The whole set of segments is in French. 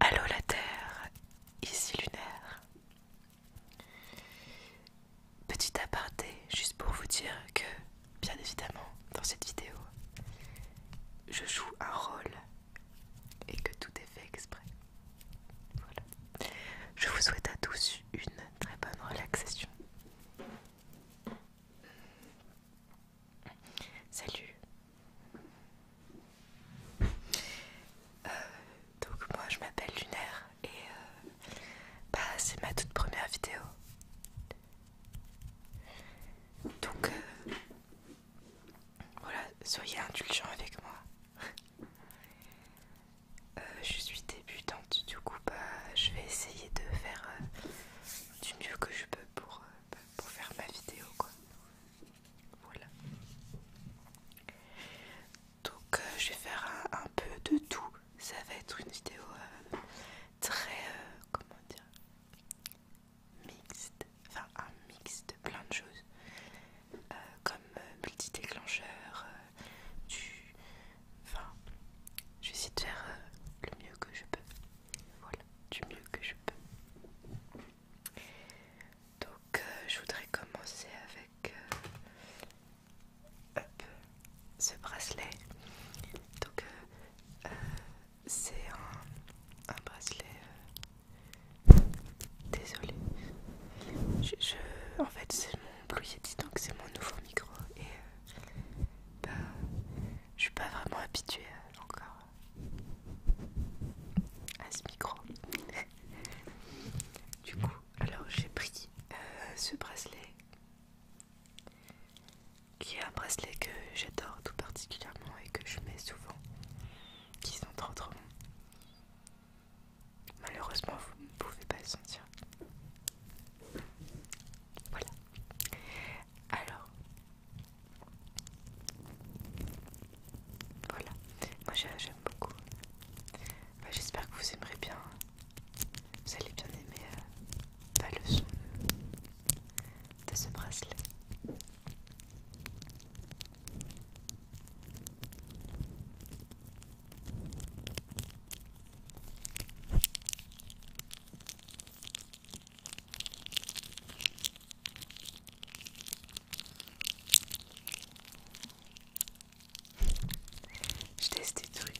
Allô la Terre, ici Lunaire. Petit aparté, juste pour vous dire que, bien évidemment, dans cette vidéo, je joue un rôle et que tout est fait exprès. Voilà. Je vous souhaite à tous une très bonne relaxation. Salut. Euh, donc moi je m'appelle Lunaire et euh, bah, c'est ma toute première vidéo. Donc euh, voilà, soyez indulgents avec moi. Euh, je suis débutante, du coup, bah, je vais essayer de faire euh, du mieux que je peux pour, euh, bah, pour faire ma vidéo, quoi. Voilà. Donc, je vais faire un, peu de tout. Ça va être une vidéo très, comment dire, mixte enfin un mix de plein de choses, euh, comme euh, multi-déclencheur, euh, du... Enfin, je de faire le mieux que je peux. Voilà, du mieux que je peux. Donc je voudrais commencer avec ce bracelet. Donc c'est un, un bracelet Désolée. en fait, c'est mon donc c'est mon nouveau micro. Et je euh, ne bah, je suis pas vraiment habituée euh, encore euh, à ce micro. du coup, alors j'ai pris ce bracelet qui est un bracelet que j'adore tout particulièrement et que je mets souvent qui sont trop trop Malheureusement, vous ne pouvez pas le sentir. Voilà. Alors, voilà. Moi, j'aime beaucoup. Bah, j'espère que vous aimerez bien. Vous allez bien aimer euh, bah, le son de ce bracelet. Je teste des trucs.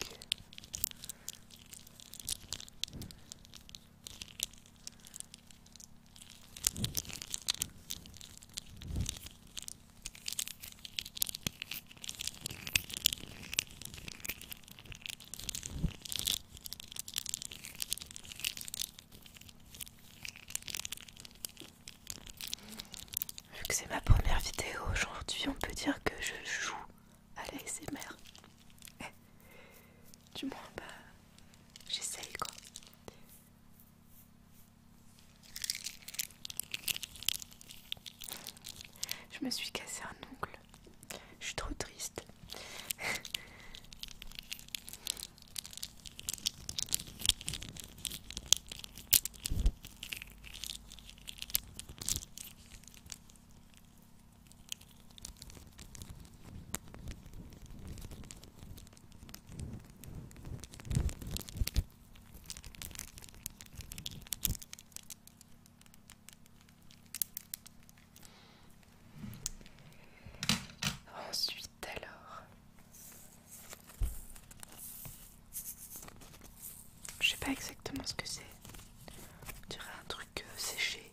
Vu que c'est ma première vidéo aujourd'hui, on peut dire que je joue à l'ASMR du moins, bah, j'essaye quoi. Je me suis cassé un oncle Je suis trop triste. Ensuite, alors, je sais pas exactement ce que c'est. On dirait un truc euh, séché.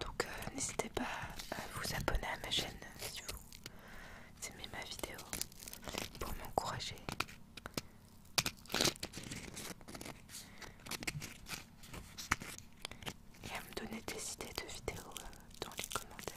Donc euh, n'hésitez pas à vous abonner à ma chaîne si vous d'aimer ma vidéo pour m'encourager. Et à me donner des idées de vidéos euh, dans les commentaires.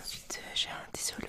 Ensuite, euh, j'ai un dissolvant.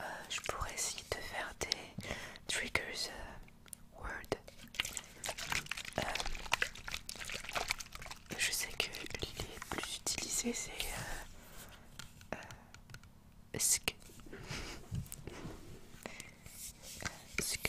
Euh, je pourrais essayer de faire des triggers euh, word. Euh, je sais que les plus utilisés c'est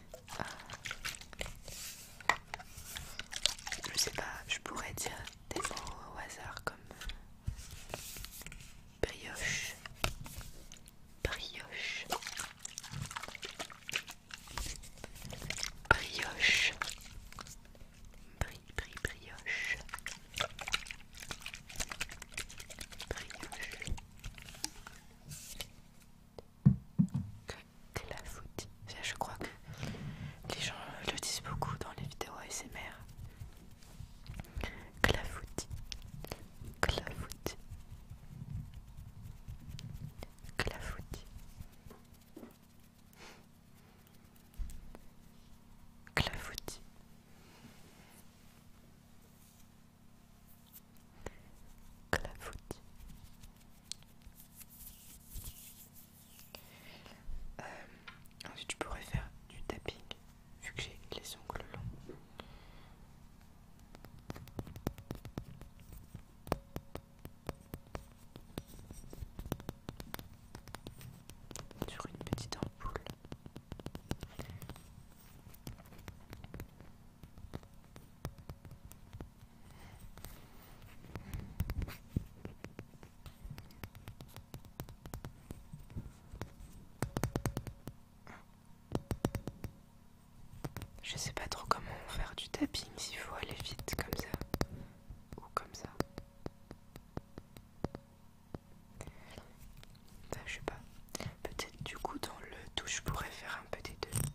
je sais pas, je pourrais dire des mots au hasard comme brioche, brioche, brioche, bri, brioche, brioche. Clafouti. Je crois que les gens le disent beaucoup dans les vidéos ASMR. Clafoutis, clafoutis, Clafouti. clafoutis. Clafoutis. Euh, ensuite, je pourrais faire du tapping vu que j'ai les ongles longs. Sur une petite ampoule. Je sais pas trop comment faire du tapping, s'il faut aller vite comme ça ou comme ça je sais pas. Peut-être du coup dans le tout je pourrais faire un petit des deux.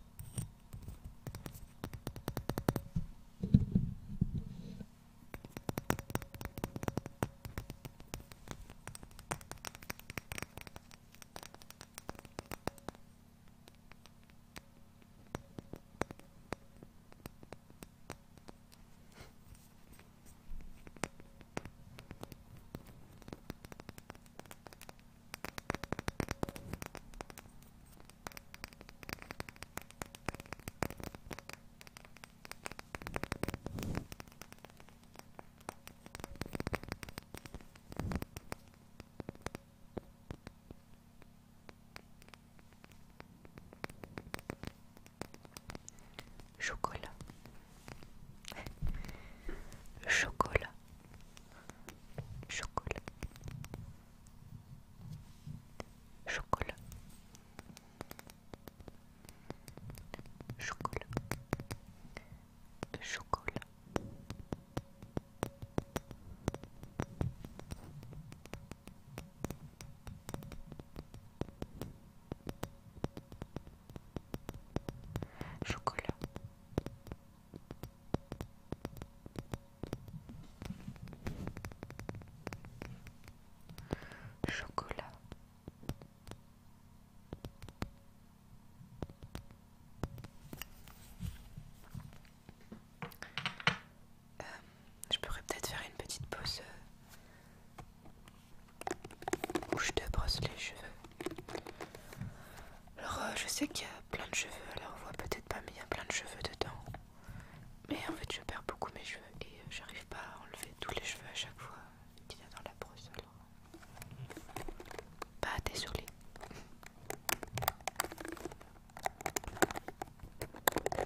Chocolat Chocolat. Chocolat. Chocolat. Chocolat. Chocolat. Chocolat. Chocolat. Euh, je pourrais peut-être faire une petite pause euh, où je te brosse les cheveux. Alors euh, je sais qu'il y a plein de cheveux, alors on voit peut-être pas, mais il y a plein de cheveux dedans. Mais en fait je perds beaucoup mes cheveux et euh, j'arrive pas à enlever tous les cheveux à chaque fois qu'il y a dans la brosse. Alors. désolé. Bah,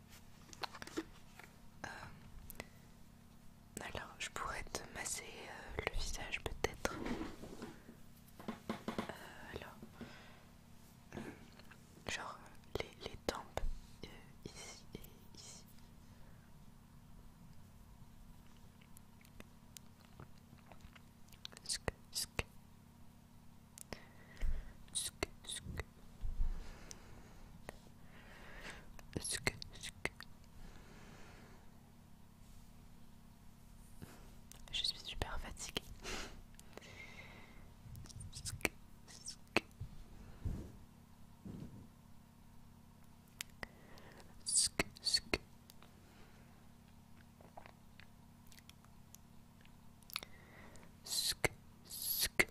Euh, alors, je pourrais te masser euh, le visage peut-être. Euh, alors, genre les, tempes ici et ici. Sk sk. Je suis super fatiguée. Sk sk. Sk sk. Sk sk.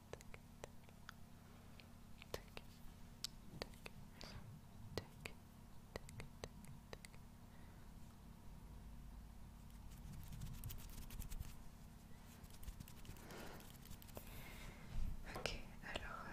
Ok, alors... Euh,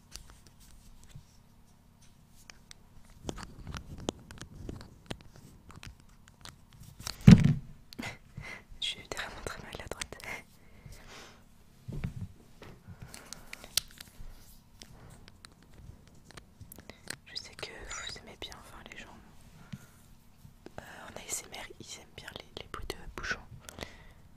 Je suis vraiment très mal à la droite. Je sais que vous aimez bien, enfin les gens en euh, ASMR ils aiment bien les, bouts de bouchons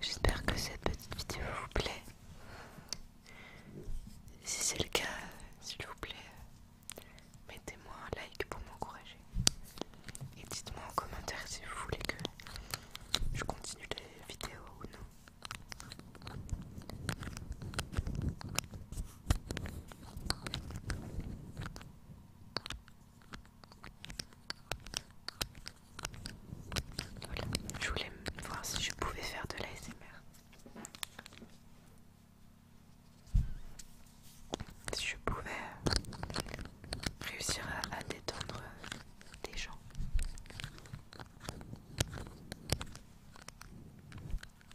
J'espère que cette petite vidéo vous plaît. Si c'est le cas, s'il vous plaît, mettez-moi un like pour m'encourager. Et dites-moi en commentaire si vous voulez que je continue les vidéos ou non je voulais voir si je pouvais faire de l'ASMR. Si je pouvais euh, réussir à, détendre euh, des gens.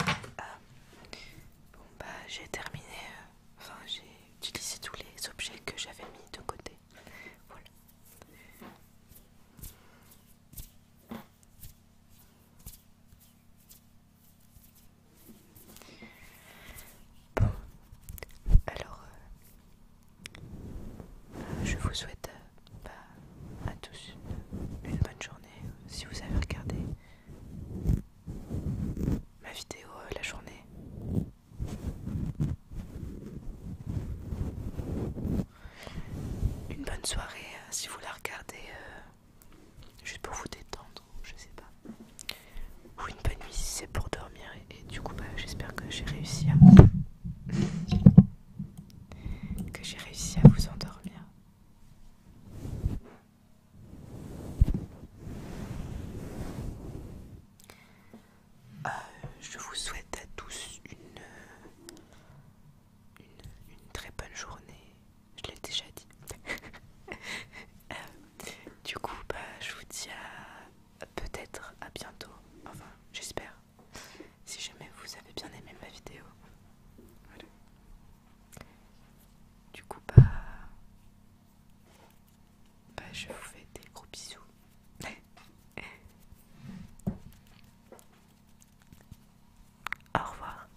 Ah. Bon bah j'ai terminé, euh, enfin j'ai utilisé tous les objets que j'avais mis de côté. Voilà. alors euh, je vous souhaite euh, bah, à tous une, bonne journée. Si vous avez regardé ma vidéo euh, la journée, une bonne soirée euh, si vous la regardez euh, juste pour vous détendre, je sais pas. Ou une bonne nuit si c'est pour dormir et, et du coup bah, j'espère que j'ai réussi à que j'ai réussi à vous endormir. Euh, je vous souhaite à tous une, une, très bonne journée. Je l'ai déjà dit. Euh, du coup, bah, je vous dis à peut-être à bientôt. Enfin, j'espère. Si jamais vous avez bien aimé ma vidéo. Du coup, bah, bah je vous fais des gros bisous. Au revoir.